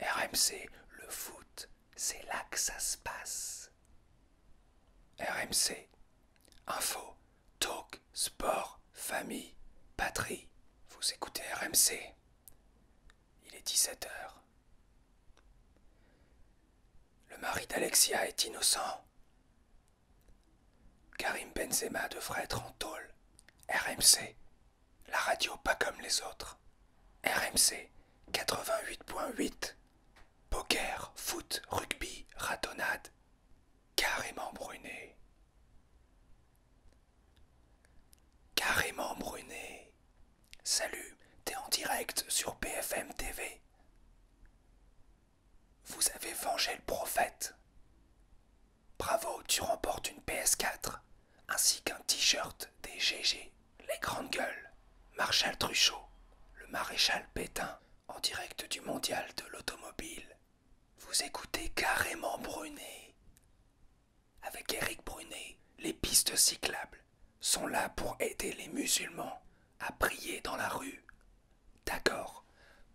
RMC, le foot, c'est là que ça se passe. RMC, info, talk, sport, famille, patrie. Vous écoutez RMC. Il est 17h. Le mari d'Alexia est innocent. Karim Benzema devrait être en tôle. RMC, la radio pas comme les autres. RMC 88.8. Poker, foot, rugby, ratonnade. Carrément bruné. Carrément bruné. Salut, t'es en direct sur PFM TV. Vous avez vengé le prophète. Bravo, tu remportes une PS4 ainsi qu'un t-shirt des GG, les grandes gueules, Marshal Truchot, le maréchal Pétain, en direct du mondial de l'automobile. Vous écoutez carrément Brunet. Avec Eric Brunet, les pistes cyclables sont là pour aider les musulmans à prier dans la rue D'accord,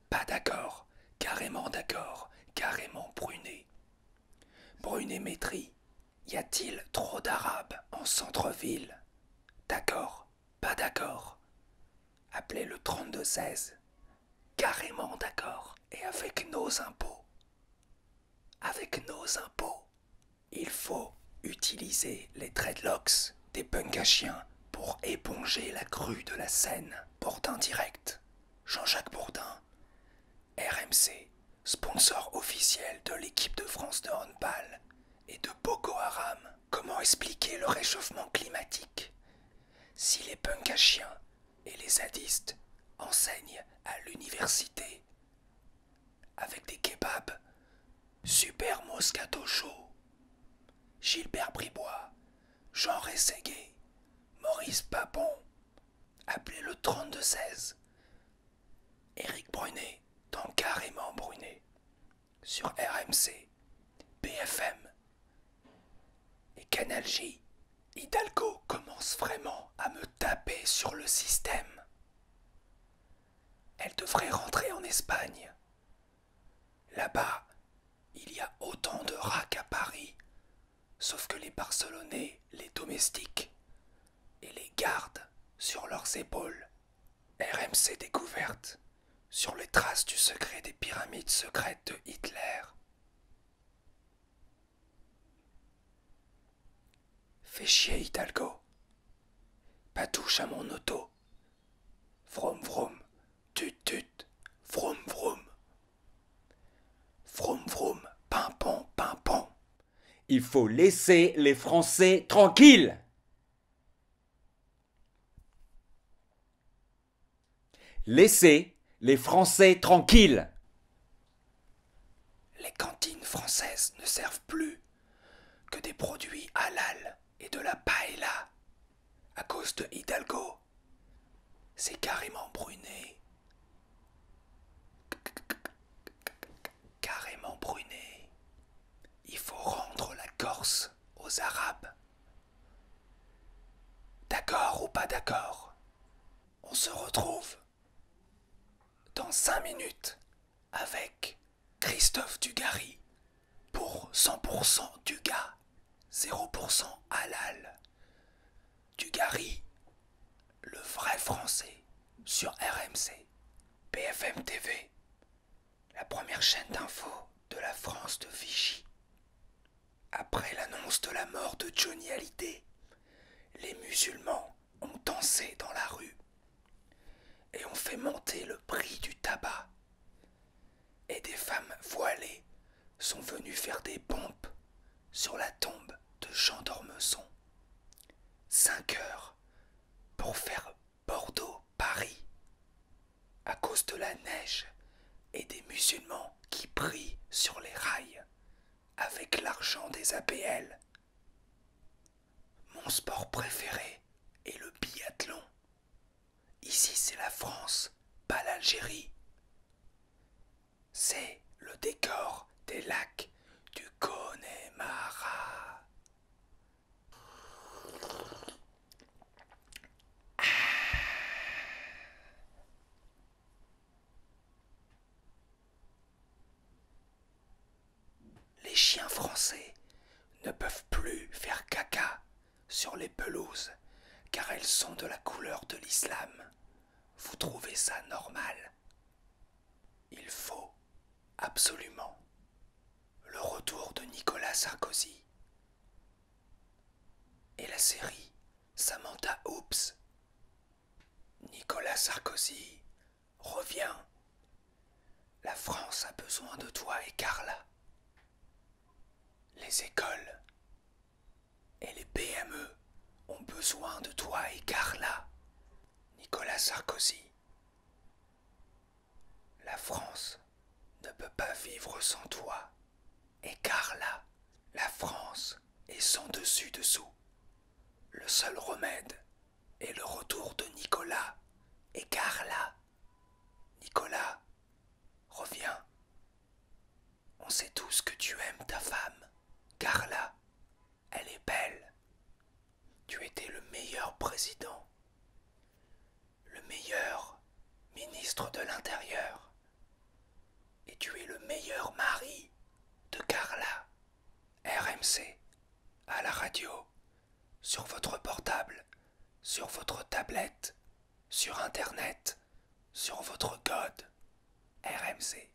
pas d'accord, carrément d'accord, carrément bruné. Brunet Métri, Y a-t-il trop d'Arabes en centre-ville D'accord, pas d'accord. Appelez le 3216. Carrément d'accord. Et avec nos impôts. Avec nos impôts, il faut utiliser les dreadlocks des Punkachiens pour éponger la crue de la Seine. Bourdin Direct, Jean-Jacques Bourdin, RMC, sponsor officiel de l'équipe de France de handball et de Boko Haram. Comment expliquer le réchauffement climatique si les Punkachiens et les zadistes enseignent à l'université avec des kebabs Super Moscato Show, Gilbert Bribois, Jean Rességué, Maurice Papon, appelez le 3216, Eric Brunet, dans Carrément Brunet, sur RMC, BFM et Canal J. Hidalgo commence vraiment à me taper sur le système. Elle devrait rentrer en Espagne. Là-bas, il y a autant de rats qu'à Paris, sauf que les Barcelonais les domestiques et les gardent sur leurs épaules. RMC découverte sur les traces du secret des pyramides secrètes de Hitler. Fais chier, Hidalgo. Pas touche à mon auto. From vroom, tut tut, From vrom, pin vroum pimpon, pimpon. Il faut laisser les Français tranquilles. Laissez les Français tranquilles. Les cantines françaises ne servent plus que des produits halal et de la paella à cause de Hidalgo. C'est carrément bruné. Carrément bruné. Il faut rendre la Corse aux Arabes. D'accord ou pas d'accord On se retrouve dans 5 minutes avec Christophe Dugary pour 100% Duga, 0% halal. Dugary, le vrai français sur RMC, BFM TV, la première chaîne d'info de la France de Vichy. Après l'annonce de la mort de Johnny Hallyday, les musulmans ont dansé dans la rue et ont fait monter le prix du tabac. Et des femmes voilées sont venues faire des pompes sur la tombe de Jean Dormeçon Cinq heures pour faire Bordeaux-Paris à cause de la neige et des musulmans qui prie sur les rails avec l'argent des APL. Mon sport préféré est le biathlon. Ici c'est la France, pas l'Algérie. C'est le décor des lacs du Connemara. Ah. Les chiens français ne peuvent plus faire caca sur les pelouses car elles sont de la couleur de l'islam. Vous trouvez ça normal Il faut absolument le retour de Nicolas Sarkozy et la série Samantha Oops. Nicolas Sarkozy, reviens. La France a besoin de toi et Carla. Les écoles et les PME ont besoin de toi et Carla. Nicolas Sarkozy. La France ne peut pas vivre sans toi. Et Carla, la France est sans dessus dessous. Le seul remède est le retour de Nicolas. Et Carla, Nicolas, reviens. On sait tous que tu aimes ta femme. Carla, elle est belle. Tu étais le meilleur président, le meilleur ministre de l'Intérieur, et tu es le meilleur mari de Carla. RMC, à la radio, sur votre portable, sur votre tablette, sur Internet, sur votre code. RMC.